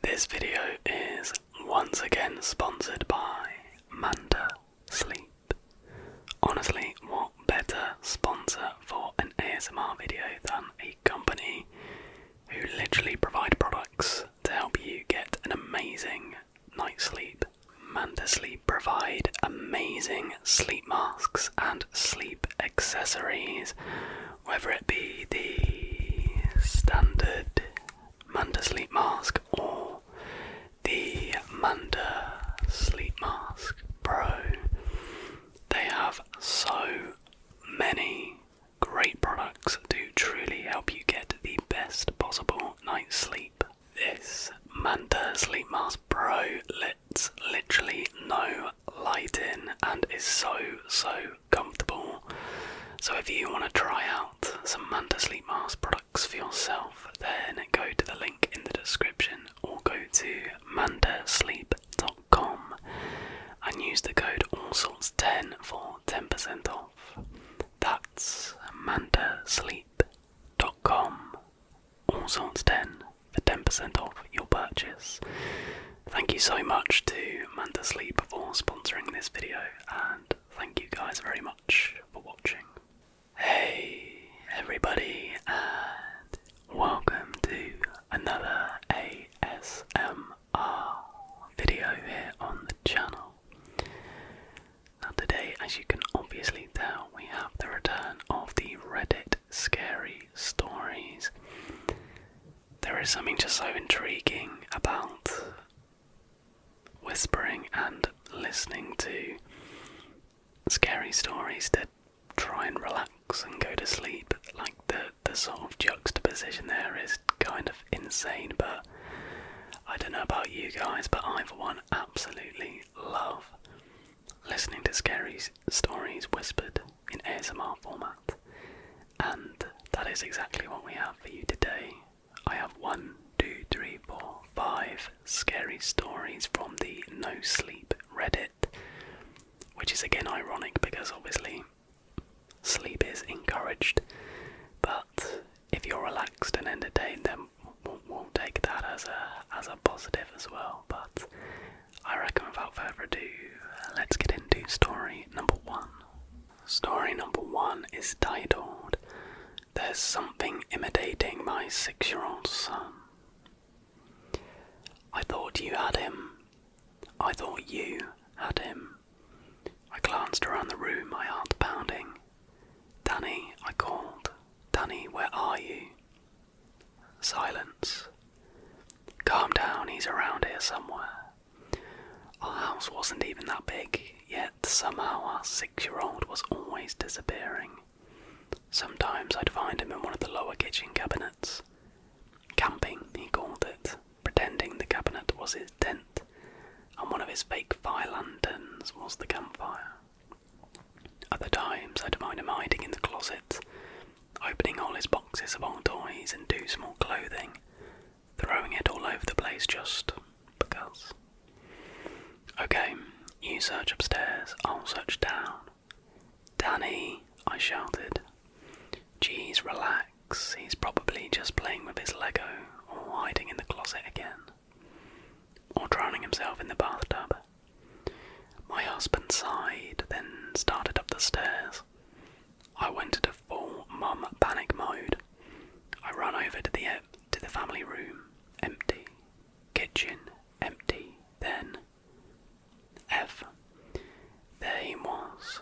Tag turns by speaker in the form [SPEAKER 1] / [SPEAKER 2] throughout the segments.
[SPEAKER 1] This video is once again sponsored by Manta Sleep. Honestly, what better sponsor for an ASMR video than a company who literally provide products to help you get an amazing night's sleep? Manta Sleep provide amazing sleep masks and sleep accessories, whether it be the standard Manda Sleep Mask or the Manda Sleep Mask Pro. They have so many great products to truly help you get the best possible night's sleep. This Manta Sleep Mask Pro lets literally no light in and is so so comfortable. So if you want to try out some Manta Sleep Mask products for yourself, then go to the link in the description or go to mandasleep.com and use the code allsorts10 for 10% off. That's mandasleep.com, allsorts10 for 10% off your purchase. Thank you so much to Manta Sleep for sponsoring this video, and thank you guys very much for watching. Hey everybody, and welcome to another ASMR video here on the channel. Now, today, as you can obviously tell, we have the return of the Reddit Scary Stories there is something just so intriguing about whispering and listening to scary stories to try and relax and go to sleep. Like the the sort of juxtaposition there is kind of insane, but I don't know about you guys, but I for one absolutely love listening to scary stories whispered in ASMR format. And that is exactly what we have for you today. I have one, two, three, four, five scary stories from the No Sleep Reddit, which is again ironic because obviously sleep is encouraged, but if you're relaxed and entertained, then we'll, we take that as a as a positive as well. But I reckon, without further ado, let's get into story number one. Story number one is titled There's Something Imitating My Six Year Old Son. I thought you had him. I thought you had him. I glanced around the room, my heart pounding. Danny, I called. Danny, where are you? Silence. Calm down, he's around here somewhere. Our house wasn't even that big, yet somehow our six year old was always disappearing. Sometimes I'd find him in one of the lower kitchen cabinets. Camping, he called it, pretending the cabinet was his tent, and one of his fake fire lanterns was the campfire. Other times I'd find him hiding in the closet, opening all his boxes of old toys and too small clothing, throwing it all over the place just because. Okay, you search upstairs, I'll search down. Danny, I shouted. Jeez, relax, he's probably just playing with his Lego or hiding in the closet again. Or drowning himself in the bathtub. My husband sighed, then started up the stairs. I went to full mum panic mode. I run over to the uh, to the family room, empty. Kitchen, empty. Then F. There he was.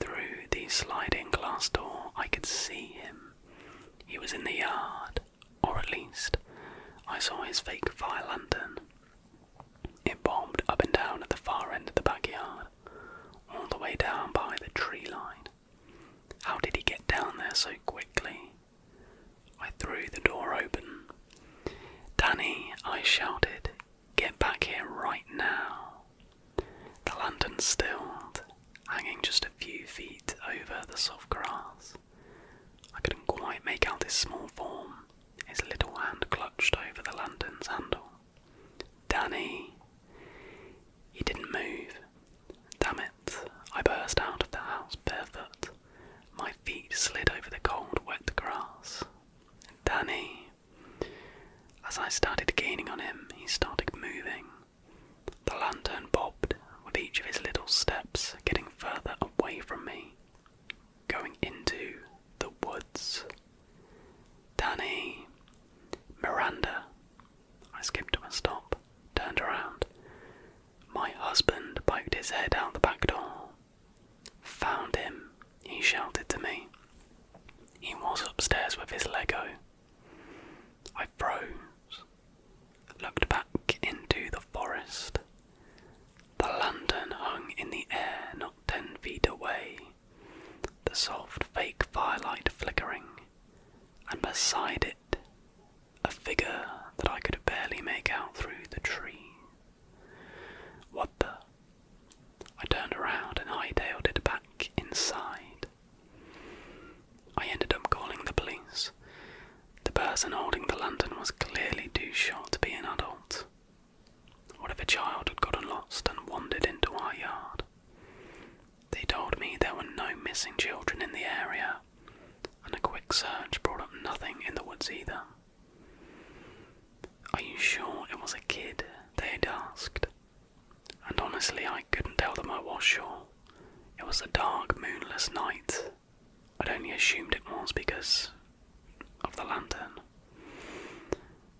[SPEAKER 1] Through the sliding glass door, I could see him. He was in the yard, or at least I saw his fake fire lantern. It bobbed up and down at the far end of the backyard all the way down by the tree line. How did he get down there so quickly? I threw the door open. Danny, I shouted, get back here right now. The lantern stilled, hanging just a few feet over the soft grass. I couldn't quite make out his small form. His little hand clutched over the lantern's handle. Danny, he didn't move. Damn it, I burst out of the house barefoot. My feet slid over the cold, wet grass. Danny. As I started gaining on him, he started moving. The lantern bobbed with each of his little steps, getting further away from me, going into the woods. Danny. Miranda. I skipped to a stop, turned around. My husband poked his head out the back door. Found him, he shouted to me. He was upstairs with his Lego. I froze, looked back into the forest. The lantern hung in the air not ten feet away the soft fake firelight flickering, and beside it a figure that I could barely make out through the tree. What the? I turned around and hightailed it back inside. I ended up calling the police. The person holding the lantern was clearly too short to be an adult. What if a child had gotten lost and wandered into our yard? They told me there were no missing children in the area, and a quick search brought up nothing in the woods either. Are you sure it was a kid? They had asked. And honestly, I couldn't tell them I was sure. It was a dark, moonless night. I'd only assumed it was because of the lantern.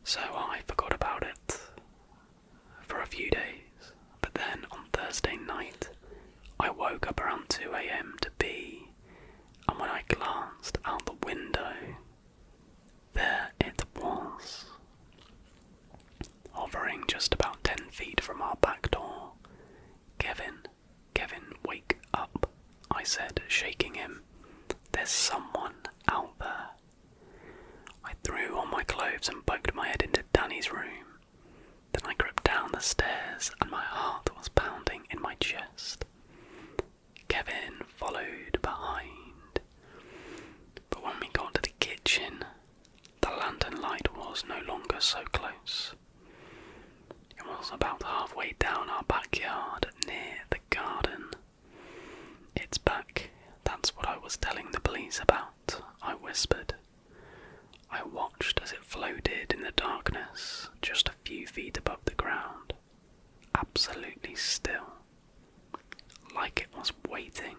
[SPEAKER 1] So I forgot about it for a few days, but then on Thursday night, I woke up around 2 am to be, and when I glanced out the window, there it was, hovering just about 10 feet from our back door. Kevin, Kevin, wake up, I said, shaking him. There's someone out there. I threw on my clothes and poked my head into Danny's room. Then I crept down the stairs and my heart was pounding in my chest. Kevin followed behind. But when we got to the kitchen, the lantern light was no longer so close. It was about halfway down our backyard near the garden. It's back, that's what I was telling the police about. I whispered. I watched as it floated in the darkness, just a few feet above the ground, absolutely still, like it was waiting,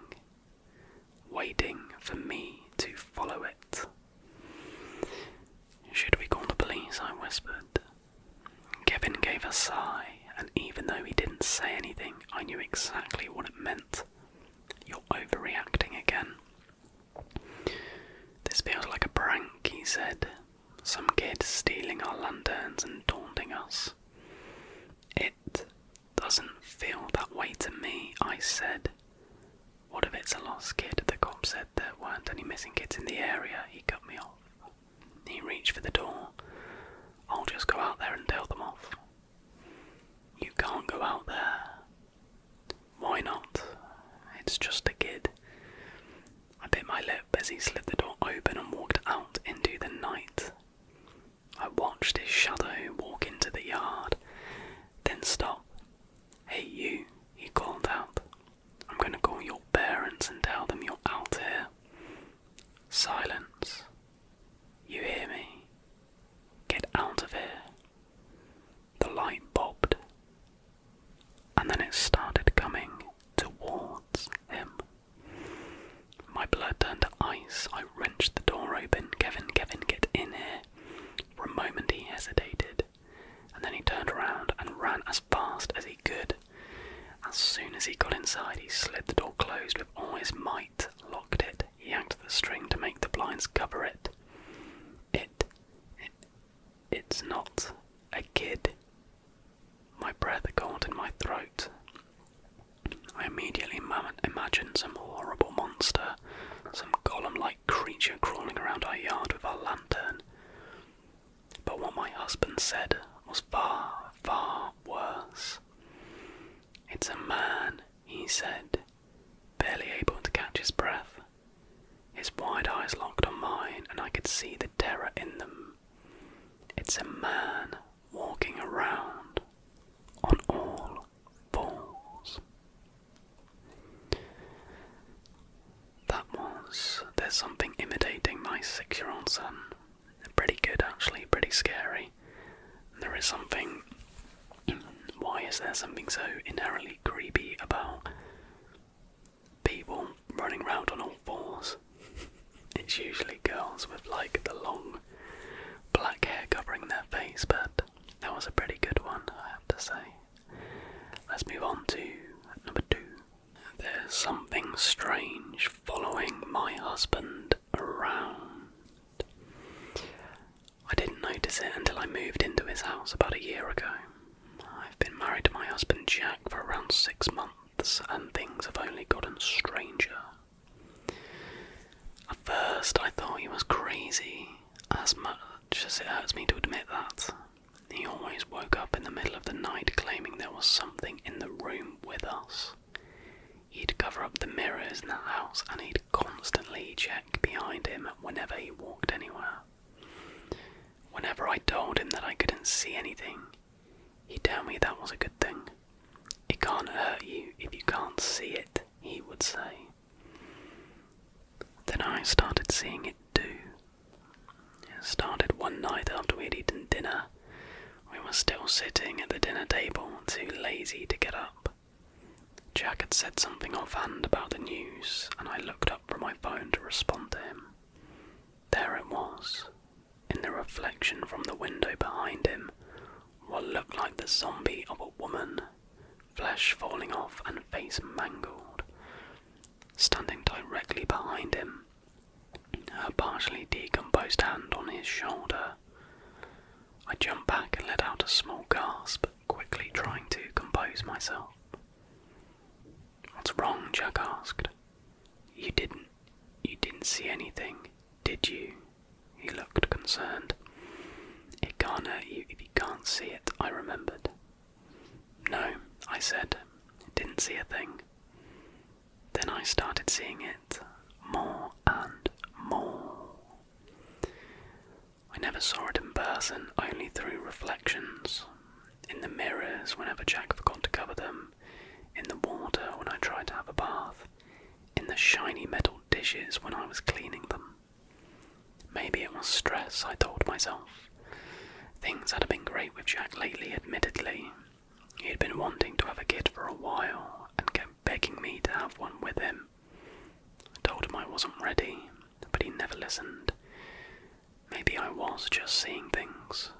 [SPEAKER 1] waiting for me to follow it. Should we call the police? I whispered. Kevin gave a sigh, and even though he didn't say anything, I knew exactly what it meant you're overreacting again. This feels like a prank, he said. Some kid stealing our lanterns and taunting us. It doesn't feel that way to me, I said. What if it's a lost kid? The cop said there weren't any missing kids in the area. He cut me off. He reached for the door. I'll just go out there and tell them off. You can't go out there. Why not? It's just a kid. I bit my lip as he slid the door open and walked out into the night. I watched his shadow walk into the yard, then stop. Hey, you, he called out. I'm going to call your parents and tell them you're out here. Silence. You hear me? Get out of here. The light bobbed, and then it started coming towards him. My blood turned to ice. I wrenched the door open. Kevin, Kevin, get in here. For a moment he hesitated, and then he turned around and ran as fast as he could. As soon as he got inside, he slid the door closed with all his might locked it, yanked the string to make the blinds cover it. It, it it's not a kid. My breath caught in my throat. I immediately imagined some horrible monster, some golem like creature crawling around our yard with our lantern. But what my husband said was far, far worse. It's a man he said, barely able to catch his breath. His wide eyes locked on mine, and I could see the terror in them. It's a man walking around on all fours. That was There's Something Imitating My Six Year Old Son. Pretty good, actually, pretty scary. There is something. Why is there something so inherently creepy about people running around on all fours? It's usually girls with like the long black hair covering their face, but that was a pretty good one, I have to say. Let's move on to number two. There's something strange following my husband around. I didn't notice it until I moved into his house about a year ago. I've been married to my husband Jack for around six months, and things have only gotten stranger. At first, I thought he was crazy, as much as it hurts me to admit that. He always woke up in the middle of the night claiming there was something in the room with us. He'd cover up the mirrors in the house and he'd constantly check behind him whenever he walked anywhere. Whenever I told him that I couldn't see anything, he'd tell me that was a good thing. It can't hurt you if you can't see it, he would say. Then I started seeing it too. It started one night after we'd eaten dinner. We were still sitting at the dinner table, too lazy to get up. Jack had said something offhand about the news, and I looked up from my phone to respond to him. There it was, in the reflection from the window behind him, what looked like the zombie of a woman, flesh falling off and face mangled. Standing directly behind him, her partially decomposed hand on his shoulder. I jumped back and let out a small gasp, quickly trying to compose myself. What's wrong? Jack asked. You didn't. You didn't see anything, did you? He looked concerned. It can't hurt you you can't see it, I remembered. No, I said. Didn't see a thing. Then I started seeing it more and more. I never saw it in person, only through reflections. In the mirrors, whenever Jack forgot to cover them, in the water when I tried to have a bath, in the shiny metal dishes when I was cleaning them. Maybe it was stress, I told myself. Things had been great with Jack lately, admittedly. He had been wanting to have a kid for a while and kept begging me to have one with him. I told him I wasn't ready, but he never listened. Maybe I was just seeing things.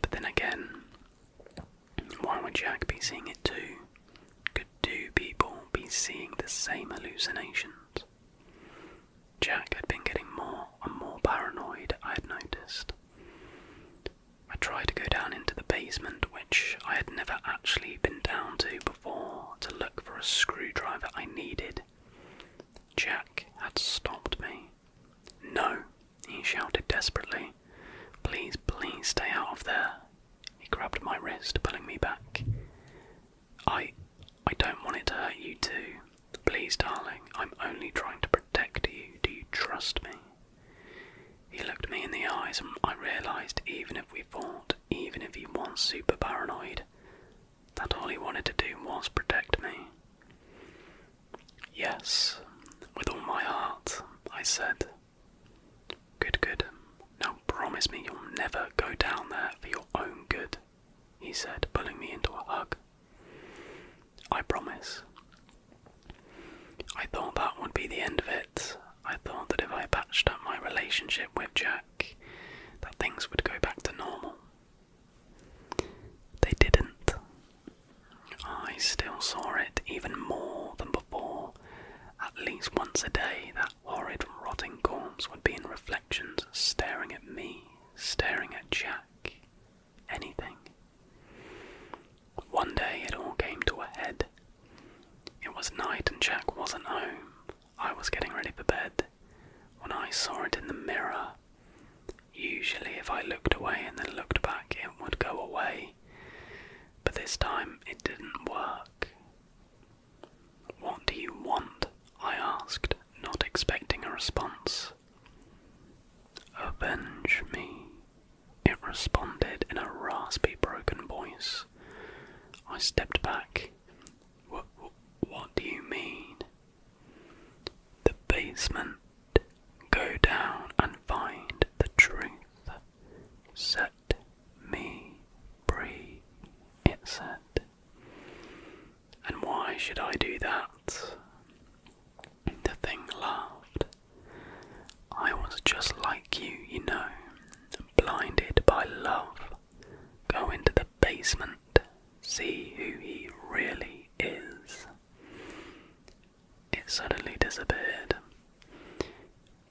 [SPEAKER 1] But then again, why would Jack be seeing it too? Could two people be seeing the same hallucinations? Jack had been getting more and more paranoid, I had noticed. I tried to go down into the basement, which I had never actually been down to before, to look for a screwdriver I needed. Jack had stopped me. No, he shouted desperately. Please, please stay out of there. He grabbed my wrist, pulling me back. I. I don't want it to hurt you too. Please, darling, I'm only trying to protect you. Do you trust me? He looked me in the eyes, and I realised even if we fought, even if he was super paranoid, that all he wanted to do was protect me. Yes, with all my heart, I said. Good, good. Now promise me you'll never go down there for your own good, he said, pulling me into a hug. I promise. I thought that would be the end of it. I thought that if I patched up my relationship with Jack, that things would go back to normal. They didn't. I still saw it even more than before. At least once a day, that horrid, rotting corpse would be in reflections, staring at me, staring at Jack. Anything. One day it all came to a head. It was night and Jack wasn't home. I was getting ready for bed when I saw it in the mirror. Usually, if I looked away and then looked back, it would go away, but this time it didn't work. What do you want? I asked, not expecting a response. Avenge me, it responded in a raspy, broken voice. I stepped back. What, do you mean? The basement. Go down and find the truth. Set me free, it said. And why should I do that? The thing laughed. I was just like you, you know, blinded by love. Go into the basement, see who he really is. It suddenly disappeared.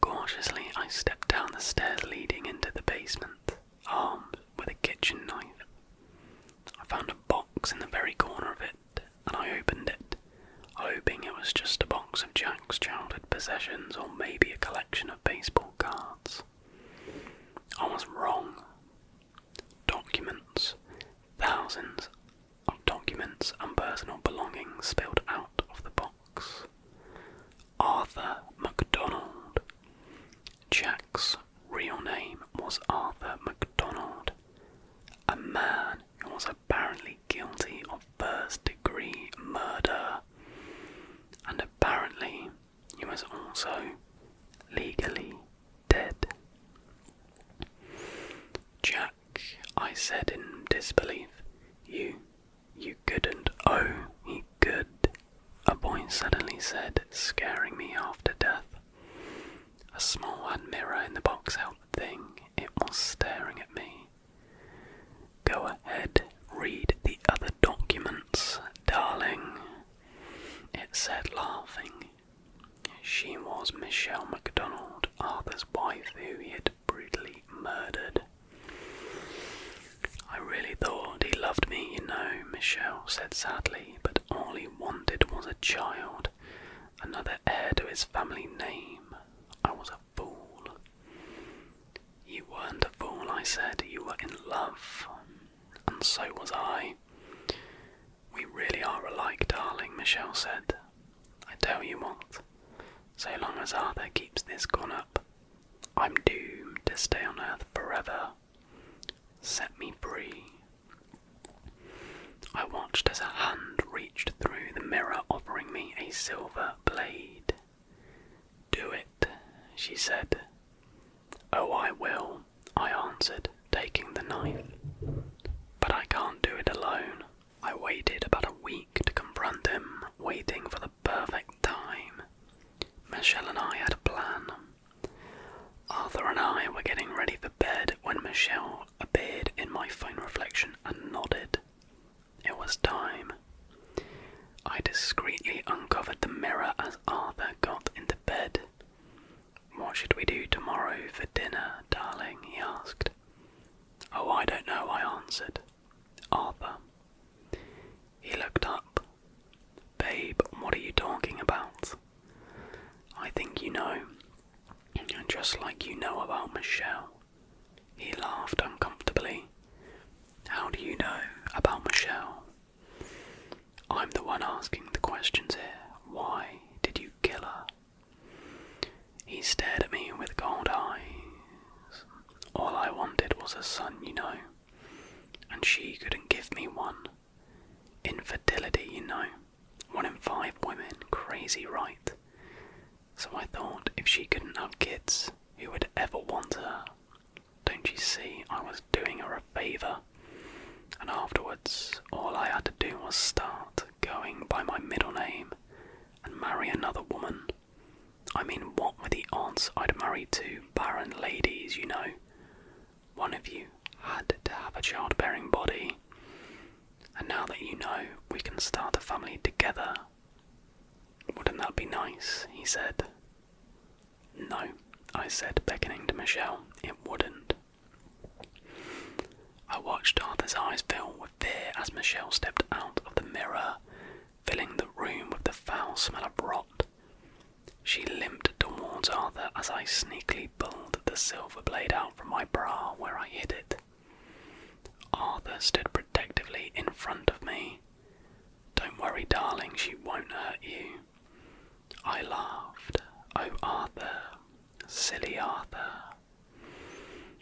[SPEAKER 1] Cautiously, I stepped down the stairs leading into the basement, armed with a kitchen knife. I found a box in the very corner of it, and I opened it hoping it was just a box of Jack's childhood possessions or maybe a collection of baseball cards. I was wrong. Documents, thousands of documents and personal belongings spilled out of the box. Arthur MacDonald. Jack's real name was Arthur MacDonald, a man who was a apparently guilty of first degree murder, and apparently he was also legally dead. Jack, I said in disbelief, you, you couldn't. Oh, he could, a voice suddenly said, scaring me after death. A small hand mirror in the box held the thing. It was staring at me. Go ahead, read the other documents, darling. It said, laughing. She was Michelle MacDonald, Arthur's wife, who he had brutally murdered. I really thought he loved me, you know, Michelle said sadly, but all he wanted was a child, another heir to his family name. I was a fool. You weren't a fool, I said. You were in love. And so was I. We really are alike, darling, Michelle said. I tell you what, so long as Arthur keeps this gun up, I'm doomed to stay on Earth forever. Set me free. I watched as a hand reached through the mirror, offering me a silver blade. Do it, she said. Oh, I will, I answered, taking the knife. But I can't do it alone. I waited about a week to confront him, waiting for the perfect time. Michelle and I had a plan. Arthur and I were getting ready for bed when Michelle appeared in my phone reflection and nodded. It was time. I discreetly uncovered the mirror as Arthur got into bed. What should we do tomorrow for dinner, darling? he asked. Oh, I don't know, I answered. Arthur. He looked up. Babe, what are you talking about? I think you know. And just like you know about Michelle. He laughed uncomfortably. How do you know about Michelle? I'm the one asking the questions here. Why did you kill her? He stared at me with cold eyes. All I wanted was a son, you know, and she couldn't give me one. Infidelity, you know. One in five women, crazy right. So I thought if she couldn't have kids, who would ever want her? Don't you see, I was doing her a favour. And afterwards, all I had to do was start going by my middle name and marry another woman. I mean, what were the odds I'd marry two barren ladies, you know? One of you had to have a child-bearing body. And now that you know, we can start a family together wouldn't that be nice? he said. No, I said, beckoning to Michelle, it wouldn't. I watched Arthur's eyes fill with fear as Michelle stepped out of the mirror, filling the room with the foul smell of rot. She limped towards Arthur as I sneakily pulled the silver blade out from my bra where I hid it. Arthur stood protectively in front of me. Don't worry, darling, she won't hurt you. I laughed. Oh, Arthur, silly Arthur.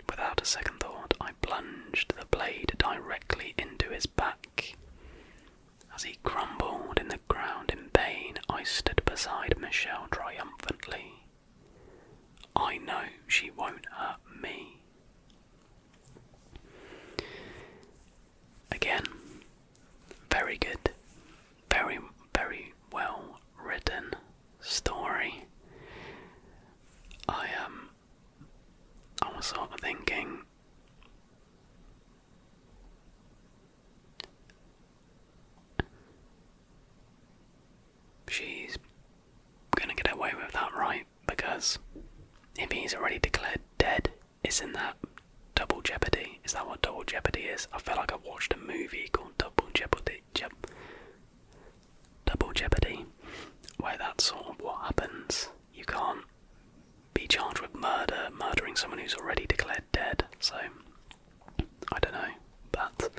[SPEAKER 1] Without a second thought, I plunged the blade directly into his back. As he crumbled in the ground in pain, I stood beside Michelle triumphantly. I know she won't hurt me, Again, very good, very, very well written story. I um, I was sort of thinking. She's gonna get away with that, right? because if he's already declared dead, isn't that double jeopardy? Is that what double jeopardy is? I feel like I watched a movie called Double Jeopardy, Double Jeopardy, where that's sort of what happens. You can't be charged with murder, murdering someone who's already declared dead. So I don't know, but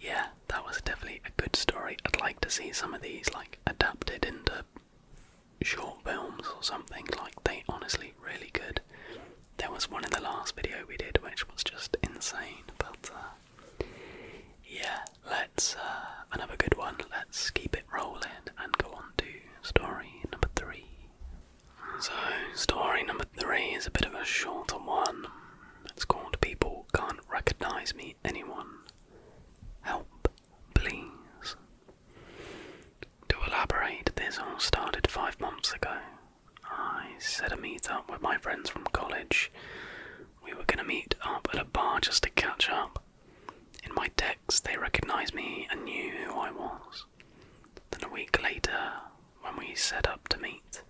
[SPEAKER 1] yeah, that was definitely a good story. I'd like to see some of these like adapted into short films or something. Like they honestly really good. There was one in the last video we did which was just insane, but uh, yeah, let's uh, another good one. Let's keep it rolling and go on to story number three. So, story number three is a bit of a shorter one. It's called People Can't Recognize Me Anyone Help, please. To elaborate, this all started five months ago. I set a meet up with my friends from college. We were gonna meet up at a bar just to catch up. In my text, they recognized me and knew who I was. Then a week later, when we set up to meet,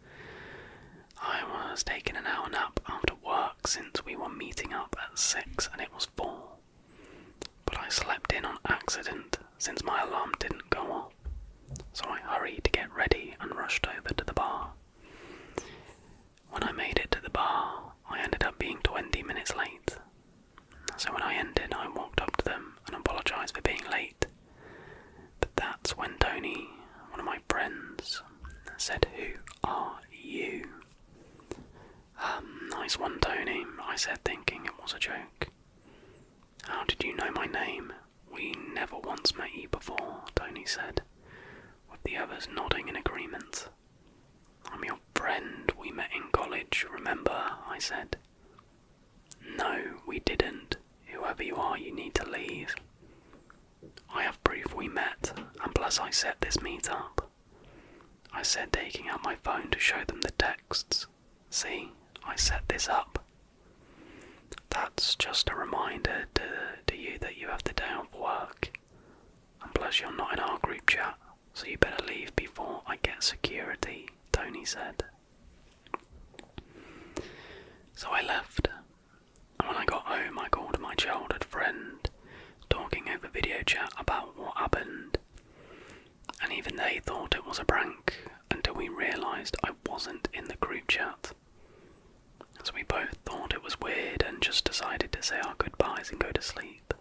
[SPEAKER 1] I was taking an hour nap after work since we were meeting up at 6 and it was 4. But I slept in on accident since my alarm didn't go off, so I hurried to get ready and rushed over to the bar. When I made it to the bar, I ended up being 20 minutes late. So when I ended, I walked up to them and apologised for being late. But that's when Tony, one of my friends, said, Who are you? Um, nice one, Tony, I said, thinking it was a joke. How did you know my name? We never once met you before, Tony said, with the others nodding in agreement. I'm your friend, we met in college, remember? I said. No, we didn't. Whoever you are, you need to leave. I have proof we met, and plus I set this meet up. I said, taking out my phone to show them the texts. See, I set this up. That's just a reminder to, to you that you have the day off work, and plus you're not in our group chat, so you better leave before I get security, Tony said. So I left when I got home, I called my childhood friend, talking over video chat about what happened. And even they thought it was a prank until we realised I wasn't in the group chat. So we both thought it was weird and just decided to say our goodbyes and go to sleep.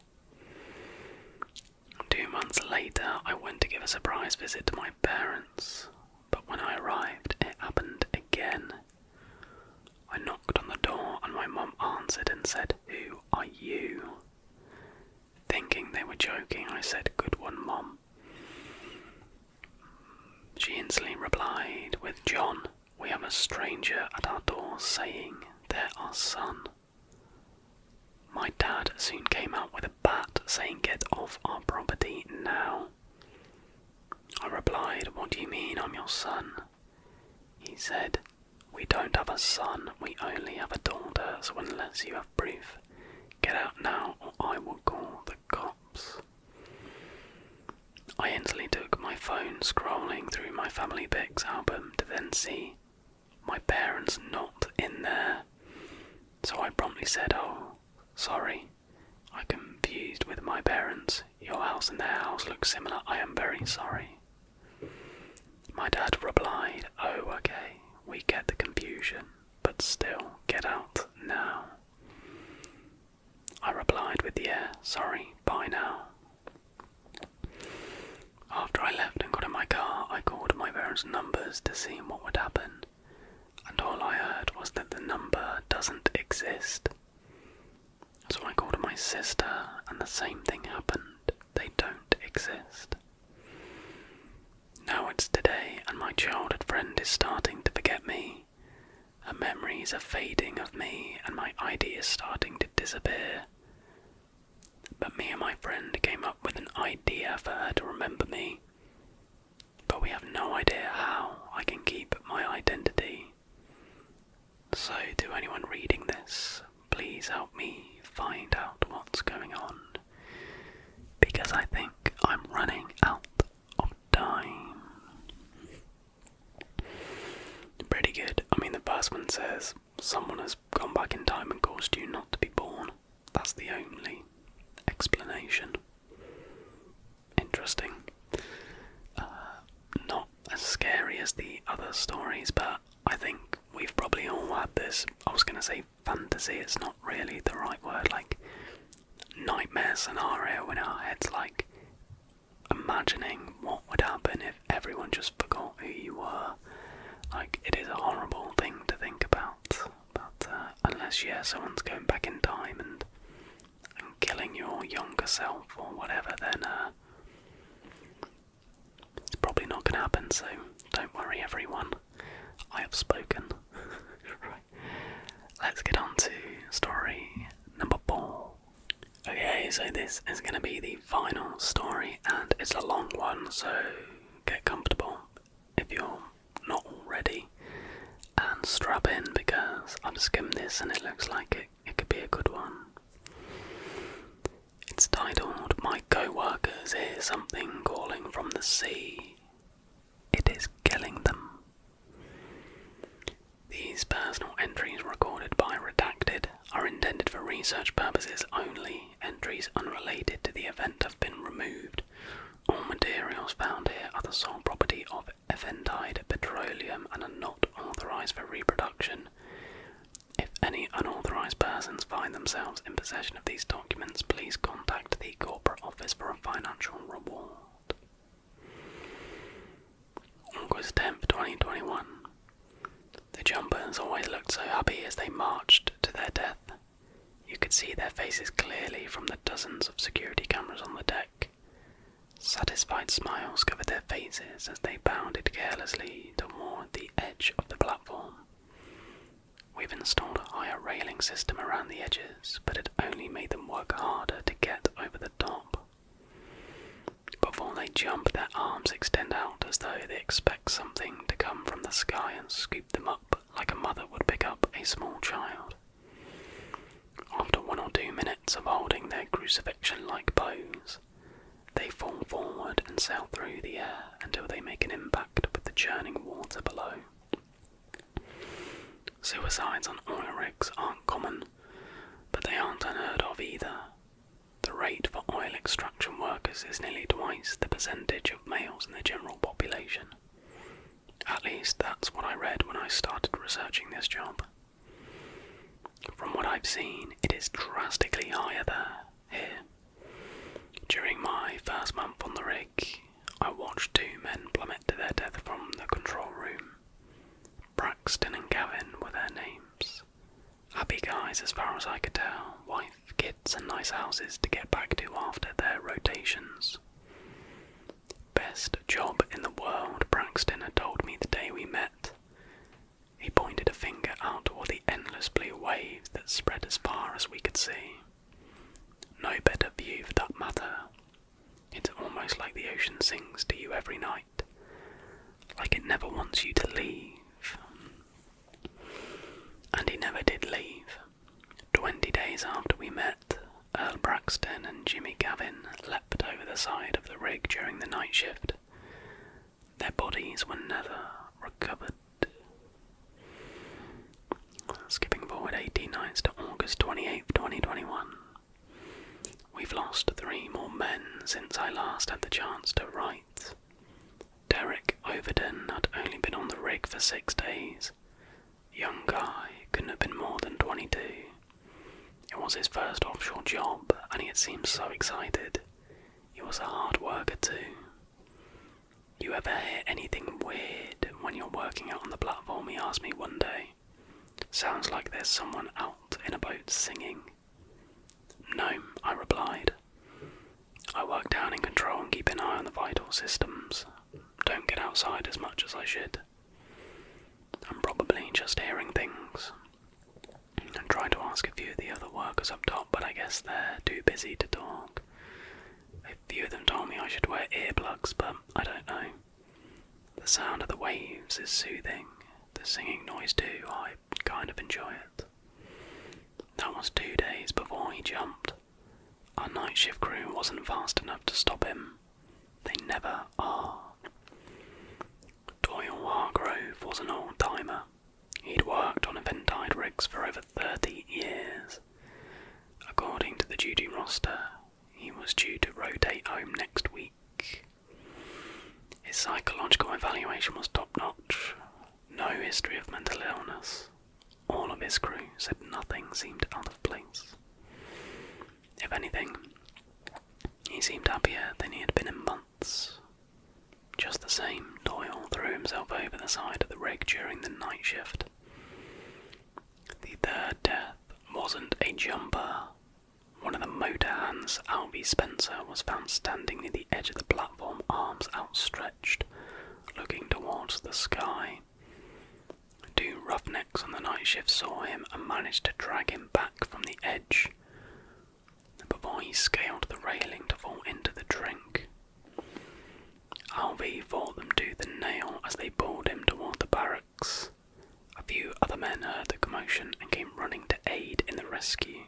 [SPEAKER 1] Two months later, I went to give a surprise visit to my parents, but when I arrived, it happened again. I knocked on the door and my mum answered and said, Who are you? Thinking they were joking, I said, Good one, mum. She instantly replied, With John, we have a stranger at our door saying, there are our son. My dad soon came out with a bat saying, Get off our property now. I replied, What do you mean I'm your son? He said, We don't have a son, we only have a daughter, so unless you have proof, get out now or I will call the cops. I instantly took my phone, scrolling through my Family Pics album to then see my parents not in there. So I promptly said, Oh, sorry. I confused with my parents your house and their house look similar. I am very sorry. My dad replied, Oh, okay, we get the confusion, but still, get out now. I replied with, Yeah, sorry, bye now. After I left and got in my car, I called my parents' numbers to see what would happen, and all I heard was that the number doesn't exist. So I called my sister, and the same thing happened. They don't exist. Now it's today, and my childhood friend is starting to forget me. Her memories are fading of me, and my ID is starting to disappear. But me and my friend came up with an idea for her to remember me. But we have no idea how I can keep my identity. So, do anyone reading this, please help me find out what's going on. Because I think I'm running out of time. Pretty good. I mean, the first one says someone has gone back in time and caused you not to be born. That's the only explanation. Interesting. Uh, not as scary as the other stories, but I think we've probably all had this. I was going to say fantasy, it's not really the right word, like nightmare scenario in our heads, like imagining what would happen if everyone just forgot who you were. Like, it is a horrible thing to think about, but uh, unless, yeah, someone's going back in time and and killing your younger self or whatever, then uh, it's probably not going to happen, so don't worry, everyone. I have spoken. right. Let's get on to story number four. Okay, so this is going to be the final story, and it's a long one, so get comfortable if you're not already and strap in because I've skimmed this and it looks like it, it could be a good one. It's titled My Coworkers Hear Something Calling from the Sea. It is killing them. These personal entries recorded by Redacted are intended for research purposes only. Entries unrelated to the event have been removed. All materials found here are the sole property of Eventide Petroleum and are not authorized for reproduction if any unauthorized persons find themselves in possession of these documents, please contact the corporate office for a financial reward. August 10th, 2021. The jumpers always looked so happy as they marched to their death. You could see their faces clearly from the dozens of security cameras on the deck. Satisfied smiles covered their faces as they bounded carelessly toward the edge of the platform. We've installed a higher railing system around the edges, but it only made them work harder to get over the top. Before they jump, their arms extend out as though they expect something to come from the sky and scoop them up like a mother would pick up a small child. After one or two minutes of holding their crucifixion like pose, they fall forward and sail through the air until they make an impact with the churning water below. Suicides on oil rigs aren't common, but they aren't unheard of either. The rate for oil extraction workers is nearly twice the percentage of males in the general population. At least that's what I read when I started researching this job. From what I've seen, it is drastically higher there, here. During my first month on the rig, I watched two men plummet to their death from the control room. Braxton and Gavin were their names. Happy guys, as far as I could tell, wife, kids, and nice houses to get back to after their rotations. Best job in the world, Braxton had told me the day we met. He pointed a finger out toward the endless blue waves that spread as far as we could see. No better view for that matter. It's almost like the ocean sings to you every night, like it never wants you to leave. And he never did leave. Twenty days after we met, Earl Braxton and Jimmy Gavin leapt over the side of the rig during the night shift. Their bodies were never recovered. Skipping forward 18 nights to August 28, 2021. We've lost three more men since I last had the chance to write. Derek Overton had only been on the rig for six days. Young guy couldn't have been more than 22. It was his first offshore job, and he had seemed so excited. He was a hard worker too. You ever hear anything weird when you're working out on the platform? He asked me one day. Sounds like there's someone out in a boat singing. No, I replied. I work down in control and keep an eye on the vital systems. Don't get outside as much as I should. I'm probably just hearing things. I'm trying to ask a few of the other workers up top, but I guess they're too busy to talk. A few of them told me I should wear earplugs, but I don't know. The sound of the waves is soothing, the singing noise too, I kind of enjoy it. That was two days before he jumped. Our night shift crew wasn't fast enough to stop him. They never are. Doyle Hargrove was an old timer. He'd worked on eventide rigs for over 30 years. According to the duty roster, he was due to rotate home next week. His psychological evaluation was top notch. No history of mental illness. All of his crew said nothing seemed out of place. If anything, he seemed happier than he had been in months months. Just the same, Doyle threw himself over the side of the rig during the night shift. The third death wasn't a jumper. One of the motor hands, Albie Spencer, was found standing near the edge of the platform, arms outstretched, looking towards the sky. Two roughnecks on the night shift saw him and managed to drag him back from the edge before he scaled the railing to fall into the drink. Alvey fought them to the nail as they pulled him toward the barracks. A few other men heard the commotion and came running to aid in the rescue.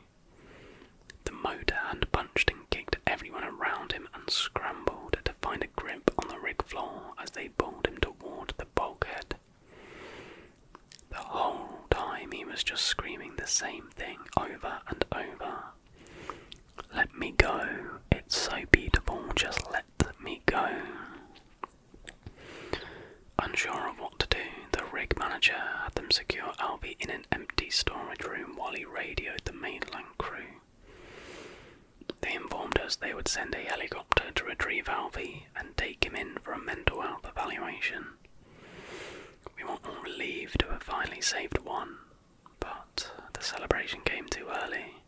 [SPEAKER 1] The motor hand punched and kicked everyone around him and scrambled to find a grip on the rig floor as they pulled him toward the bulkhead. The whole time he was just screaming the same thing over and over. Let me go, it's so beautiful, just let me go. Unsure of what to do, the rig manager had them secure Albie in an empty storage room while he radioed the mainland crew. They informed us they would send a helicopter to retrieve Alvi and take him in for a mental health evaluation. We were all relieved to have finally saved one, but the celebration came too early.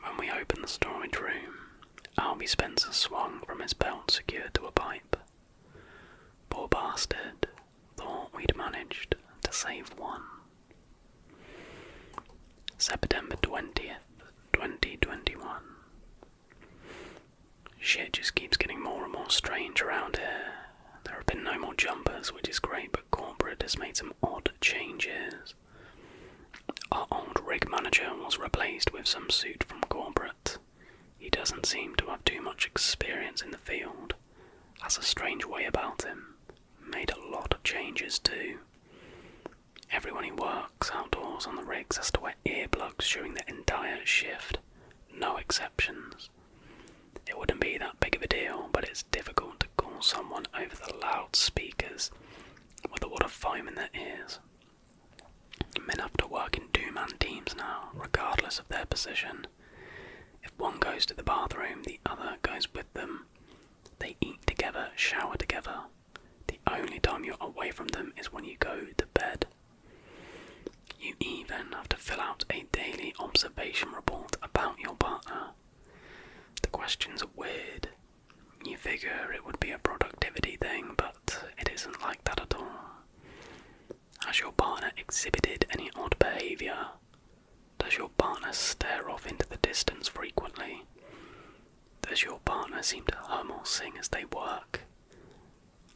[SPEAKER 1] When we opened the storage room, Albie Spencer swung from his belt secured to a pipe. Poor bastard thought we'd managed to save one. September 20th, 2021. Shit just keeps getting more and more strange around here. There have been no more jumpers, which is great, but corporate has made some odd changes. Our old rig manager was replaced with some suit from corporate. He doesn't seem to have too much experience in the field. Has a strange way about him. Made a lot of changes too. Everyone who works outdoors on the rigs has to wear ear plugs during the entire shift no exceptions. It wouldn't be that big of a deal, but it's difficult to call someone over the loudspeakers with a lot of foam in their ears. Men have to work in two man teams now, regardless of their position. If one goes to the bathroom, the other goes with them. They eat together, shower together. The only time you're away from them is when you go to bed. You even have to fill out a daily observation report about your partner. The questions are weird. You figure it would be a productivity thing, but it isn't like that at all. Has your partner exhibited any odd behaviour? Does your partner stare off into the distance frequently? Does your partner seem to hum or sing as they work?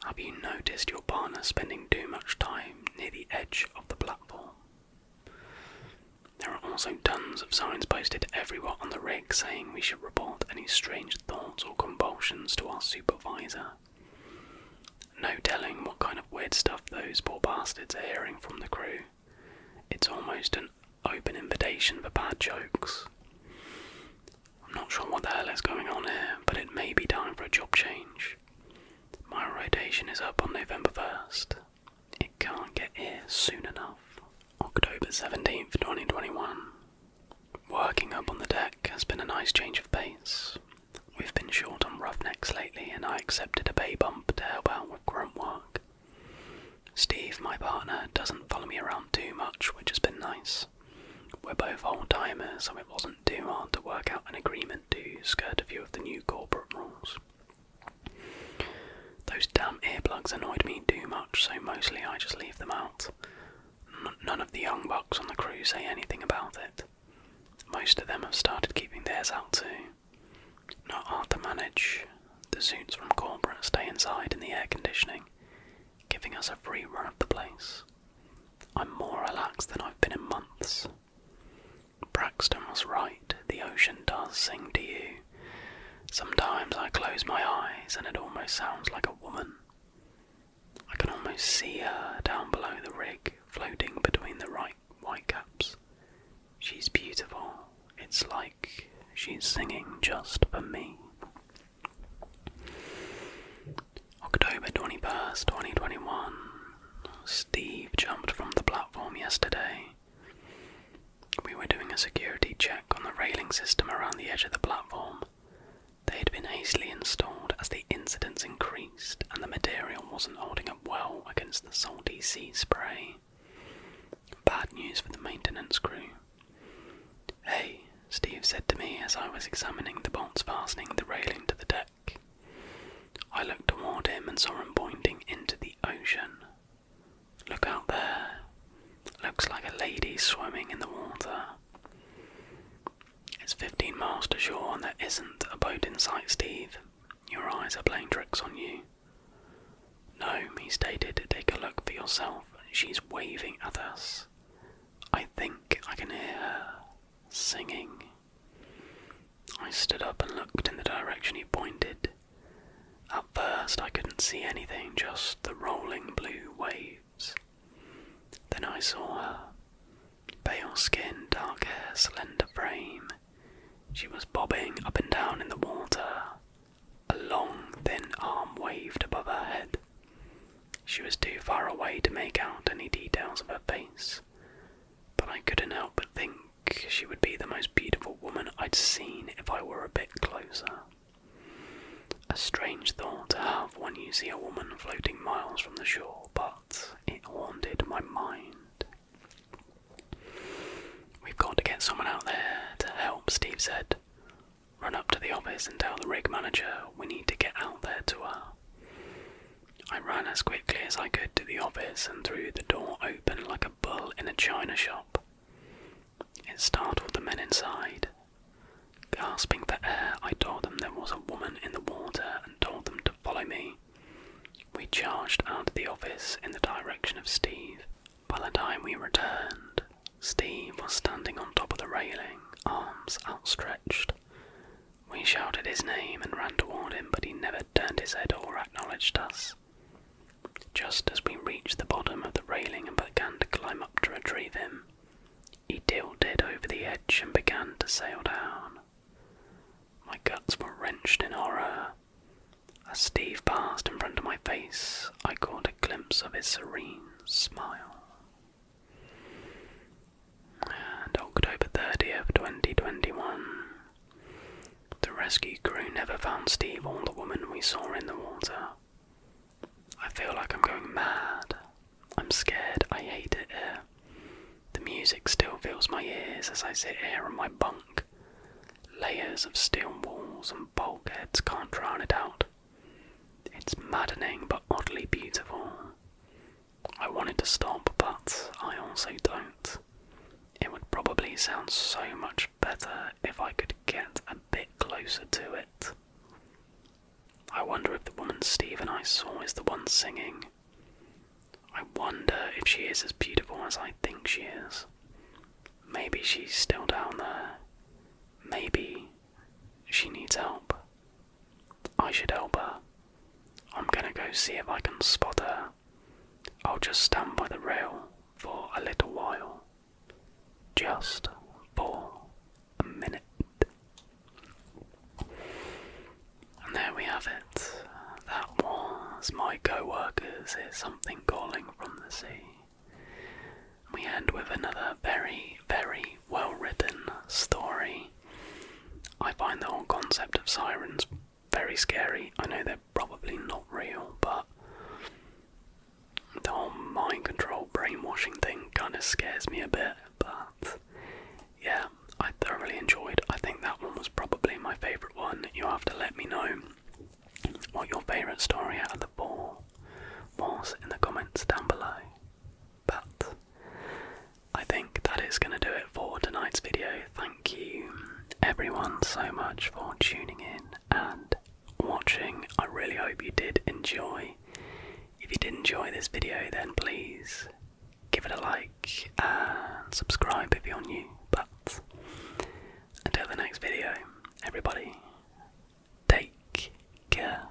[SPEAKER 1] Have you noticed your partner spending too much time near the edge of the platform? There are also tons of signs posted everywhere on the rig saying we should report any strange thoughts or convulsions to our supervisor. No telling what kind of weird stuff those poor bastards are hearing from the crew. It's almost an open invitation for bad jokes. I'm not sure what the hell is going on here, but it may be time for a job change. My rotation is up on November 1st. It can't get here soon enough. October 17th, 2021. Working up on the deck has been a nice change of pace. We've been short on roughnecks lately, and I accepted a bay bump to help out with grunt work. Steve, my partner, doesn't follow me around too much, which has been nice. We're both old timers, so it wasn't too hard to work out an agreement to skirt a few of the new corporate rules. Those damn earplugs annoyed me too much, so mostly I just leave them out. none of the young bucks on the crew say anything about it. Most of them have started keeping theirs out too. Not hard to manage. The suits from corporate stay inside in the air conditioning, giving us a free run of the place. I'm more relaxed than I've been in months. Braxton was right, the ocean does sing to you. Sometimes I close my eyes and it almost sounds like a woman. I can almost see her down below the rig, floating between the right whitecaps. She's beautiful. It's like she's singing just for me. October 21st, 2021. Steve jumped from the platform yesterday. We were doing a security check on the railing system around the edge of the platform. They had been hastily installed as the incidents increased and the material wasn't holding up well against the salty sea spray. Bad news for the maintenance crew. Hey, Steve said to me as I was examining the bolts fastening the railing to the deck. I looked toward him and saw him pointing into the ocean. Look out there. Looks like a lady swimming in the water. It's 15 miles to shore and there isn't a boat in sight, Steve. Your eyes are playing tricks on you. No, he stated, take a look for yourself. She's waving at us. I think I can hear her singing. I stood up and looked in the direction he pointed. At first, I couldn't see anything, just the rolling blue waves. Then I saw her. Pale skin, dark hair, slender frame. She was bobbing up and down in the water. A long, thin arm waved above her head. She was too far away to make out any details of her face, but I couldn't help but think she would be the most beautiful woman I'd seen if I were a bit closer. A strange thought to have when you see a woman floating miles from the shore, but it haunted my mind. We've got to get someone out there to help, Steve said. Run up to the office and tell the rig manager we need to get out there to her. Uh, I ran as quickly as I could to the office and threw the door open like a bull in a china shop. It startled the men inside. Gasping for air, I told them there was a woman in the water and told them to follow me. We charged out of the office in the direction of Steve. By the time we returned, Steve was standing on top of the railing, arms outstretched. We shouted his name and ran toward him, but he never turned his head or acknowledged us. Just as we reached the bottom of the railing and began to climb up to retrieve him, he tilted over the edge and began to sail down. My guts were wrenched in horror. As Steve passed in front of my face, I caught a glimpse of his serene smile. And October 30th, 2021. The rescue crew never found Steve or the woman we saw in the water. I feel like I'm going mad. I'm scared. I hate it here. The music still fills my ears as I sit here in my bunk. Layers of steel walls and bulkheads can't drown it out. It's maddening but oddly beautiful. I wanted to stop, but I also don't. It would probably sound so much better if I could get a bit closer to it. I wonder if the woman Stephen I saw is the one singing. I wonder if she is as beautiful as I think she is. Maybe she's still down there. Maybe she needs help. I should help her. I'm gonna go see if I can spot her. I'll just stand by the rail for a little while. Just for a minute. And there we have it. That was my co workers hear something calling from the sea. We end with another very, very well written story. I find the whole concept of sirens very scary. I know they're probably not real, but the whole mind control brainwashing thing kind of scares me a bit. But yeah, I thoroughly enjoyed. I think that one was probably my favourite one. You have to let me know what your favourite story out of the four was in the comments down below. But I think that is going to do it for tonight's video. Thank you everyone so much for tuning in and watching. I really hope you did enjoy. If you did enjoy this video, then please give it a like and subscribe if you're new. But until the next video, everybody, take care.